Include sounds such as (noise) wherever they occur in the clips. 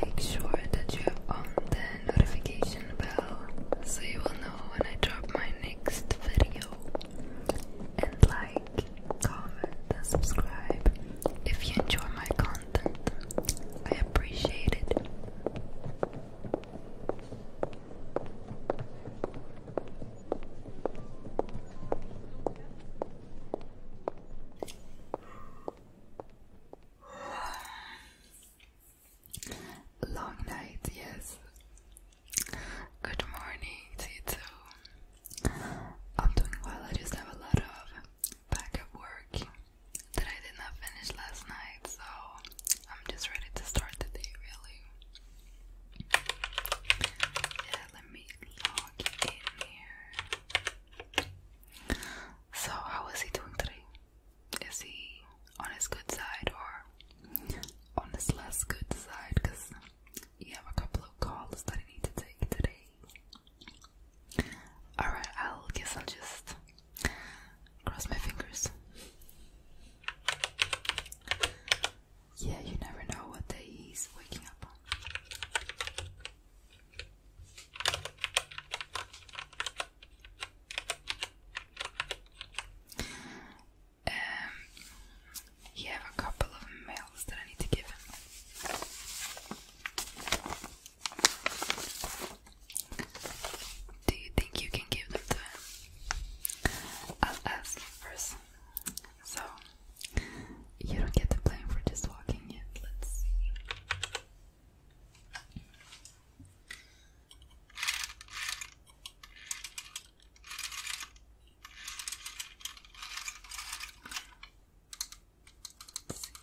Make sure that you have on the notification bell so you will know when I drop my next video. And like, comment, and subscribe if you enjoy my content. I appreciate it. Long night, yes. Good morning, Tito. I'm doing well. I just have a lot of backup work that I did not finish last night, so I'm just ready to start the day, really. Yeah, let me log in here. So, how is he doing today? Is he on his good side or on his less good side? Because you have a couple of calls that I need to take today. Alright, i guess I'll just cross my fingers. Yeah, you never know what day he's waking up on. Um, have a couple of mails that I need to give him. Do you think you can give them to him? I'll ask him first. So you don't get the blame for just walking yet. Let's see.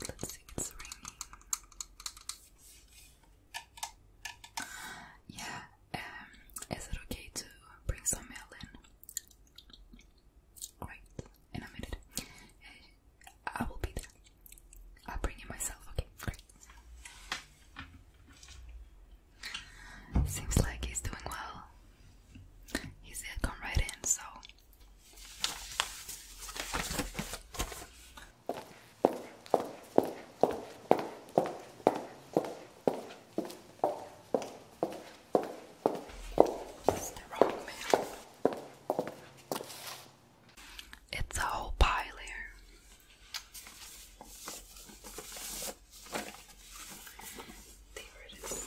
Let's see, let it's ringing. Yeah, um, is it okay to bring some mail in? Right, in a minute. I will be there. i bring it myself, okay? Great. Seems like he's doing well. He said come right in, so it's a whole pile here. There it is.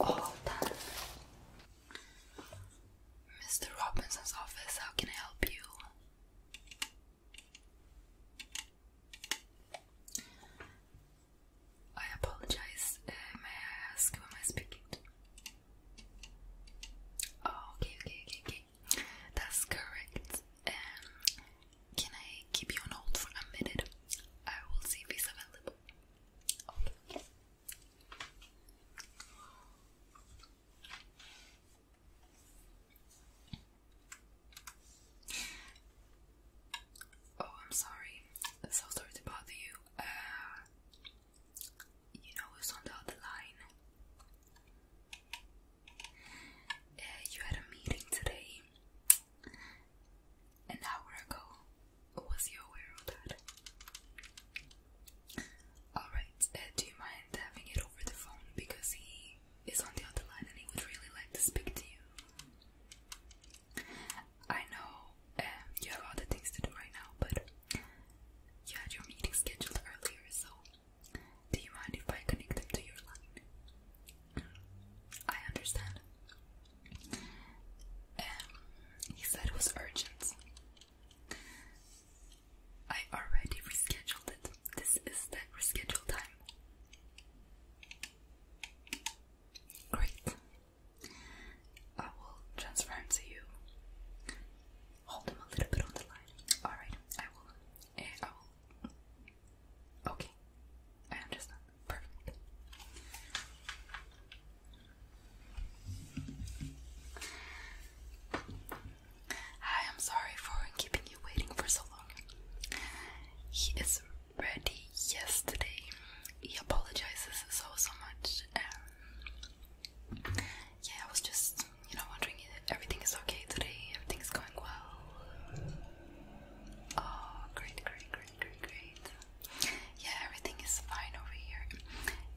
All done. Mr. Robinson's office, how can I help you? I apologize. Uh, may I ask who am I speaking to? Oh, okay, okay, okay, okay. That's correct. Um, can I keep you on hold for a minute? I will see if he's available. Okay. Oh, I'm sorry. i so sorry to bother you. Uh, you know who's on the other line? Uh, you had a meeting today, an hour ago. Was you aware of that? Alright, uh, do you mind having it over the phone because he is on the other line and he would really like to speak to you? I know um, you have other things to do right now, but you had your meeting scheduled earlier, so do you mind if I connect him to your line? I understand. Um, he said it was urgent. I already rescheduled it. This is the rescheduled time. Great. I will transfer him to you. Hold him a little bit on the line. Alright, I will. Eh, I will. Okay. I understand. Perfect. Hi, I'm sorry for keeping you waiting for so long. He is ready yesterday. He apologizes so, so much. yeah, I was just, you know, wondering if everything is okay today, everything's going well. Oh, great, great, great, great, great. Yeah, everything is fine over here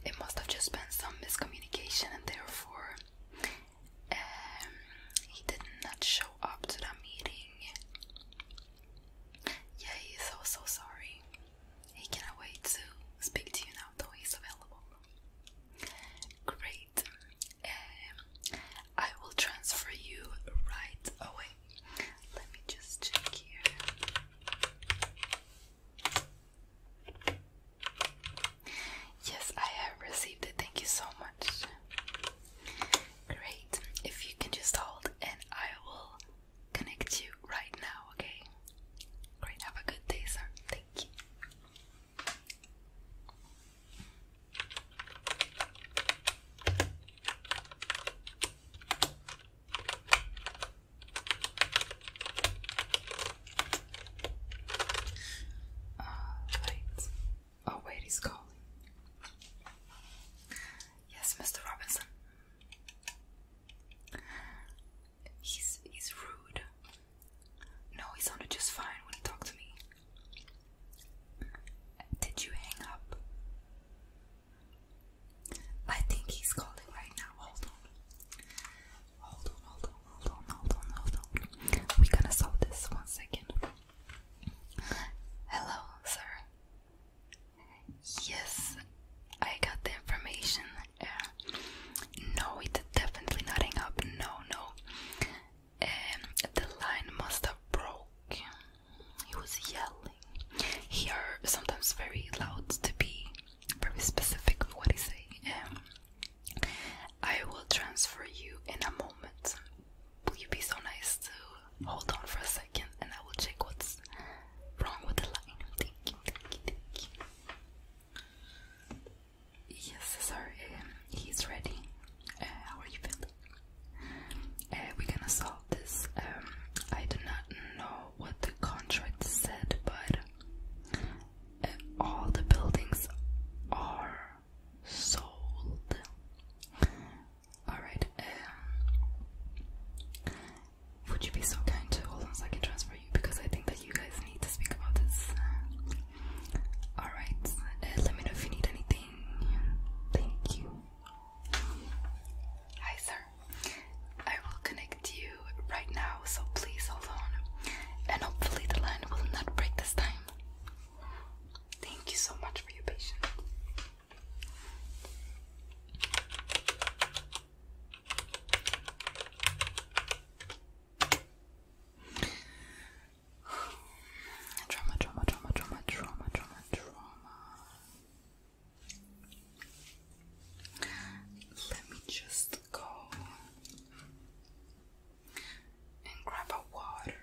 it must have just been some miscommunication, and therefore um, he did not show up to that meeting. Yeah, he's so so sorry. He cannot wait to speak to you now, though he's available. Great. Um, I will transfer you right away. Let me just check here. Yes, I have received it. Thank you so much. Great. If you can just hold and I will connect you right now, okay? Great. Have a good day, sir. Thank you. Uh, wait. Oh, wait, he's calling. Yes, Mr. Robinson. He's he's rude. No, he sounded just fine when he talked to me. Did you hang up? I think he's calling right now. Hold on. Hold on, hold on, hold on, hold on, hold on. We're gonna solve this one second. Hello, sir. Yes, I got the information. Uh, no, it's definitely not up. No, no. Um, the line must have broke. He was yelling. He sometimes very loud to be very specific on what he's saying. Um, I will transfer you in a moment. Will you be so nice to hold on for a second and I will check what's wrong with the line? Yes, sorry, um, he's ready. Uh, how are you feeling? Uh, we're gonna solve this. Um, I do not know what the contract said, but all the buildings are sold. Alright, um, would you be so kind to hold on so I can transfer you? Because I think that you guys need to speak about this. Alright, uh, let me know if you need anything. Thank you. Hi, sir. I will connect you right now, so please hold on. And hopefully, the line will not break this time. Thank you so much for your patience. Drama, drama, drama, drama, drama, drama, Let me just go and grab a water.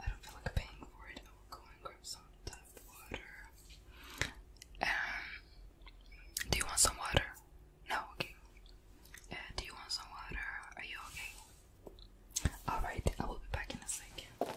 I don't feel like paying for it. I will go and grab some of water. Um, do you want some water? No, okay. Uh, do you want some water? Are you okay? Alright, I will be back in a second.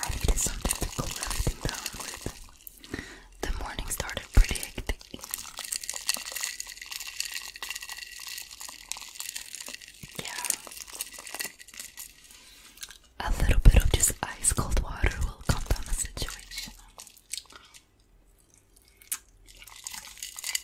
I needed something to cool everything down with. The morning started pretty hectic. Yeah. A little bit of just ice cold water will calm down the situation.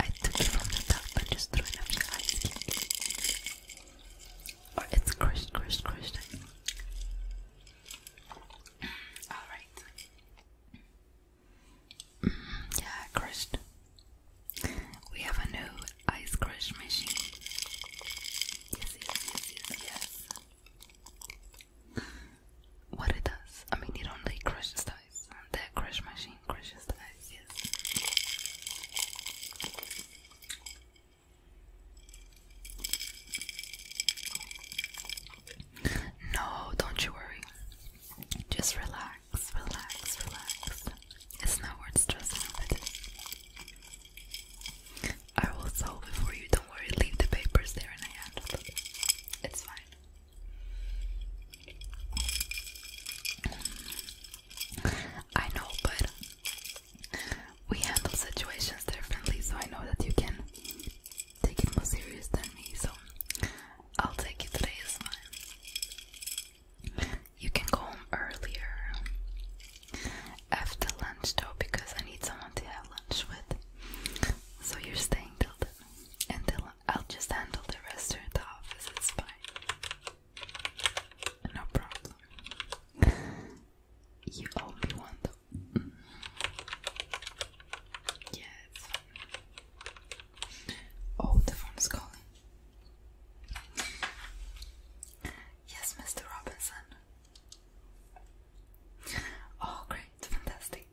I took it from the top and just threw it up your ice cube. Or it's crushed, crushed, crushed. Mm, Alright. Mm, yeah, crushed. We have a new ice crush machine. yes, yes, yes, yes. Mm, what it does? I mean, it only crushes stuff, toys. crush machine crushes toys, yes. No, don't you worry. Just relax, relax, relax. It's not worth stressing I will solve it for you, don't worry. Leave the papers there and I handle it. It's fine. I know, but we handle situations differently, so I know that you can take it more serious than me, so I'll take it today as fine. You can go home earlier after lunch though because I need someone to have lunch with. So you're staying till then. Until I'll just handle the rest of the office, it's fine. No problem. (laughs) You only want the. Mm. Mm-hmm. Oh, the phone is calling. Yes, Mr. Robinson. Oh, great, fantastic.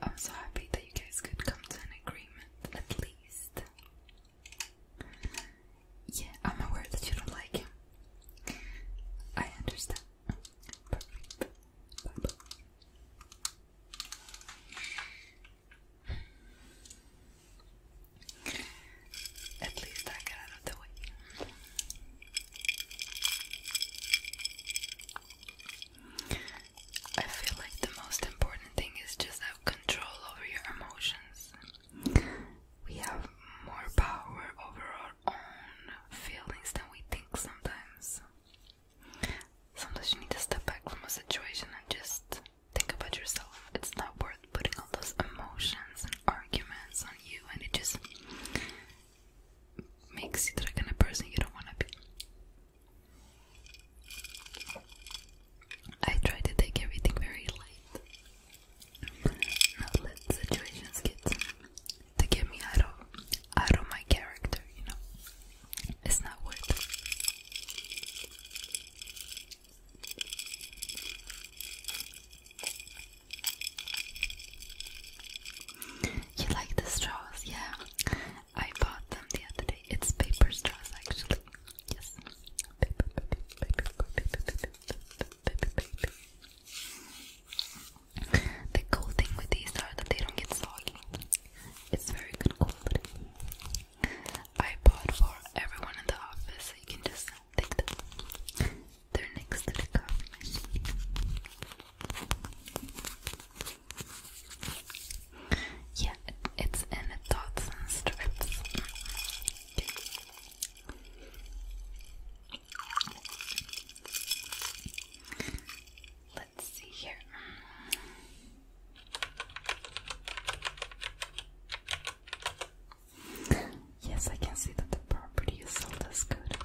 I'm so happy that you guys could come to an agreement, at least. Yeah, I'm aware that you don't like him. I understand. At least I got out of the way. I feel like the most important thing is just control over your emotions. We have more power over our own feelings than we think sometimes. Sometimes you need to step back from a situation and just think about yourself. It's not worth putting all those emotions and arguments on you, and it just makes you the kind of person you don't want to be. I try to take everything very light, not let situations get to get me out of out of my character. You know, it's not worth it. You like the straws, yeah. I bought them the other day. It's paper straws, actually. The cool thing with these are that they don't get soggy. It's very good quality. I bought for everyone in the office, you can just take them. They're next to the coffee machine. Yeah, it's in dots and strips. Let's see here. Yes, I can see that the property is sold good.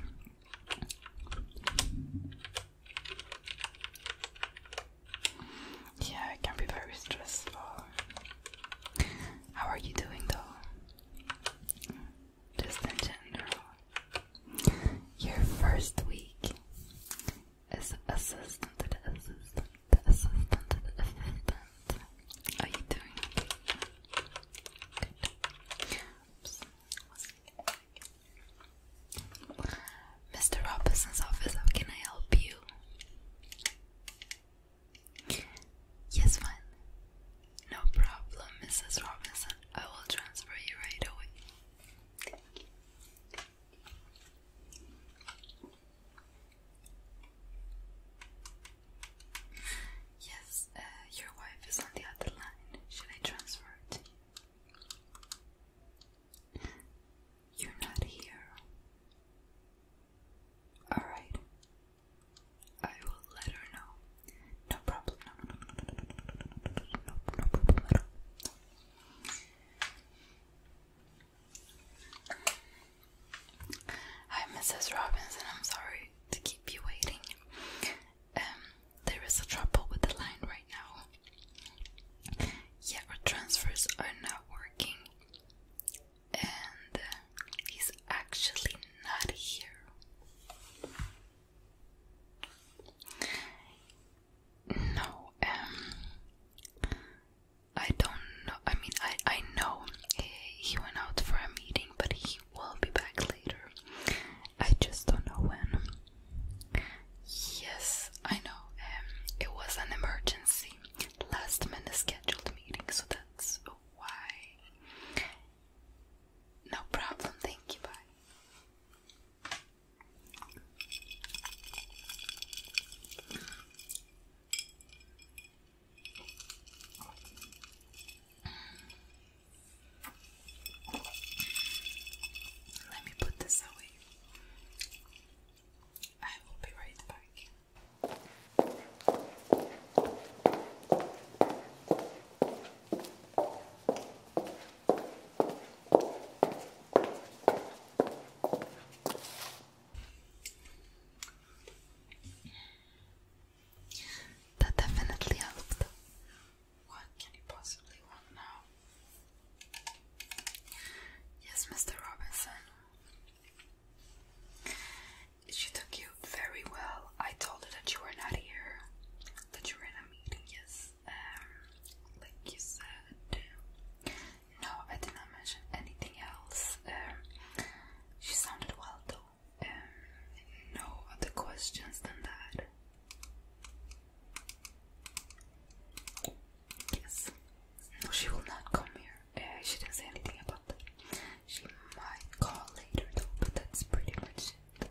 Yeah, it can be very stressful. How are you doing though? Just in general. Your first week is assistant to the assistant, the assistant to the assistant. Are you doing Good. Mr. Robinson's office, how can I help you? Yes, fine. No problem, Mrs. Robinson. I will transfer you right away. Thank you. Yes, uh, your wife is on the other line. Should I transfer to you? You're not here. Alright. I will let her know. No problem. Hi, Mrs. Robinson. I'm sorry to keep you waiting. Um, there is a trouble with the line right now. Yeah, our transfers are not working and uh, he's actually not here. No, um, I don't know. I mean, I I know he went out for a meeting, but he will be back later. I just don't know when. Yes, I know. Um, it was an emergency. Last minute scheduled meeting, so that's why. No problem, thank you, bye. Let me put this away. I will be right back. That definitely helped. What can you possibly want now? Yes, Mr. Robinson. She took you very well. I told her that you were not here, that you were in a meeting, yes, um, like you said. No, I did not mention anything else. Um, she sounded well though. Um, no other questions than that. Yes. No, she will not come here. Eh, she didn't say anything about that. She might call later though, but that's pretty much it.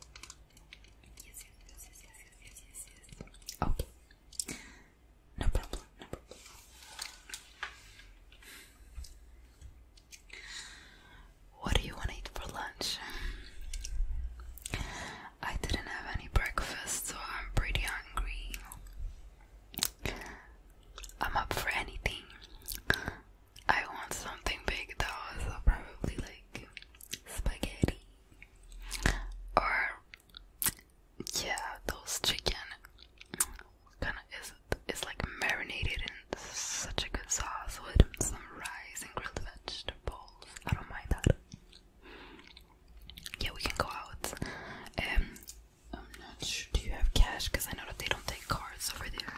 yes, yes, yes, yes, yes, yes, yes, yes. Okay. No problem, no problem. What do you want to eat for lunch? I didn't have any breakfast, so I'm pretty hungry. I'm up for anything. I want something big though, so probably like spaghetti or yeah, those chicken. Kind of is it's like marinated and such a good sauce with some rice and grilled vegetables. I don't mind that. Yeah, we can go out. Um, I'm not sure. Do you have cash? Because I know that they don't take cards over there.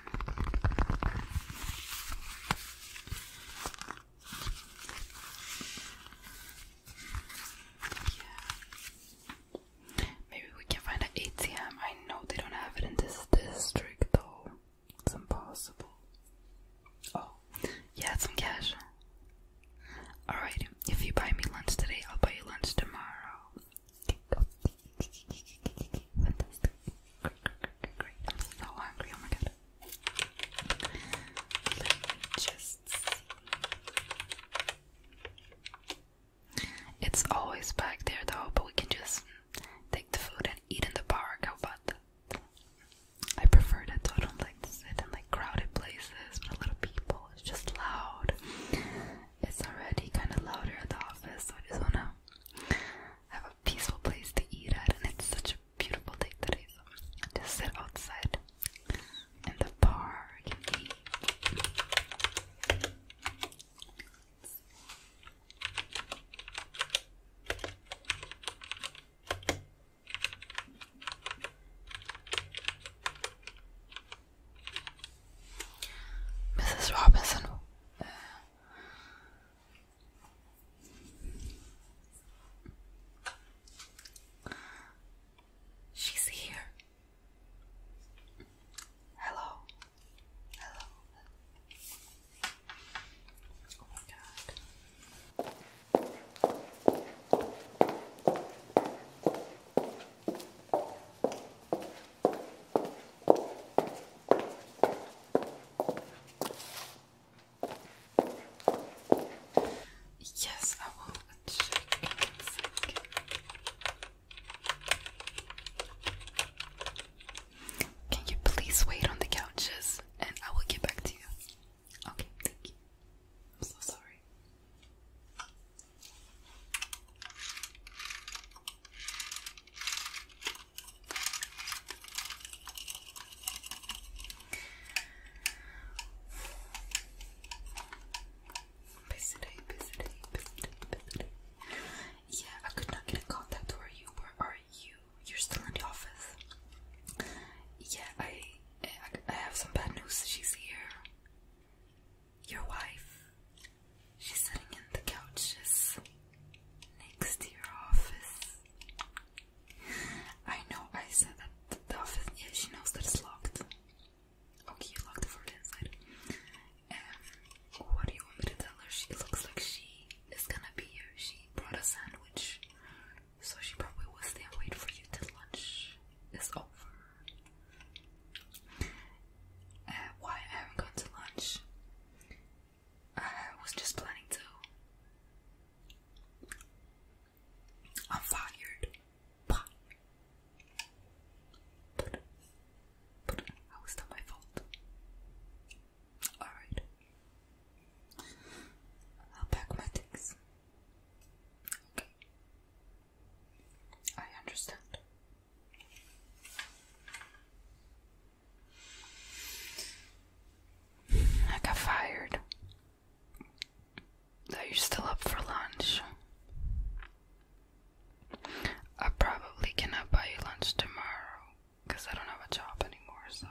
Yeah. Maybe we can find an ATM. I know they don't have it in this district though. It's impossible. Oh, yeah, some cash. Alright, if you buy me lunch today, I'll buy you lunch tomorrow. I'm so hungry, oh my god. Let me just It's always back there though, but we can just take the food and eat in the park. How about that? I prefer that I don't like to sit in like crowded places a lot of people. It's just loud. It's already kind of louder at the office, so I just want to have a peaceful place to eat at, and it's such a beautiful day today, so I just sit outside in the park Mrs. Robinson. she's here. Hello. Hello. Oh my god. Yes, I will check Can you please wait on the couches and I will get back to you? Okay, thank you. I'm so sorry. Busy, busy, busy, busy. Yeah, I could not get in contact. Where you? Where are you? You're still in the office. Yeah, I, I have some bad news. She's here your wife. She's sitting in the couches next to your office. I know I said that the office, yeah, she knows that it's locked. Okay, you locked the front inside. Um, what do you want me to tell her? She looks like she is gonna be here. She brought a sandwich, so she probably will stay and wait for you to lunch is over. Uh, why I haven't gone to lunch? I uh, was just planning to. I'm fired. But, but, but my fault? Alright. I'll pack my things. I understand. I got fired. Are you still up for lunch? I probably cannot buy you lunch tomorrow because I don't have a job anymore, so.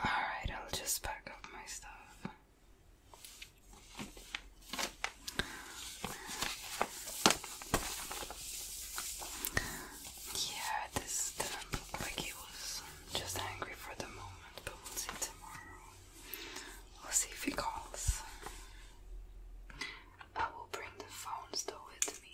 Alright, I'll just pack up my stuff. Yeah, this doesn't look like he was just angry for the moment, but we'll see tomorrow. We'll see if he calls. I will bring the phone still with me.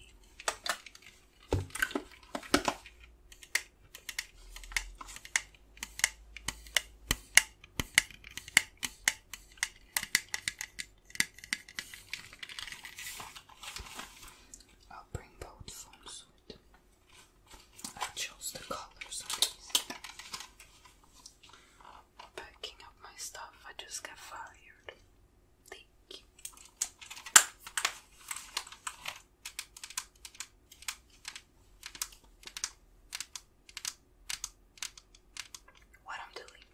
I'll bring both forms with. I chose the colors Packing up my stuff, I just got fired. Thank you. What I'm doing,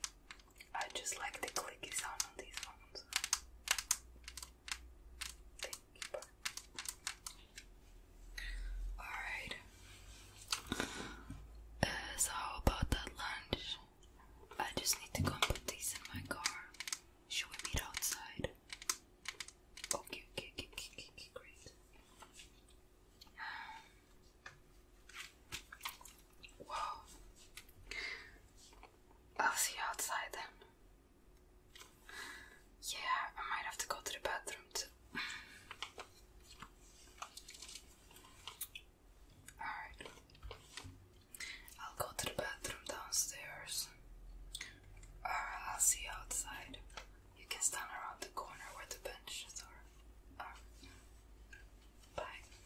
I just like the clicky sound on these ones. Alright. Uh, so, how about that lunch? I just need to go and put these in my car. Should we meet outside? Okay, okay, okay, okay, okay, great. Whoa. I'll see you outside then. Yeah, I might have to go to the bathroom too. Alright. I'll go to the bathroom downstairs. Or I'll see outside. You can stand around the corner where the benches are. Um, bye.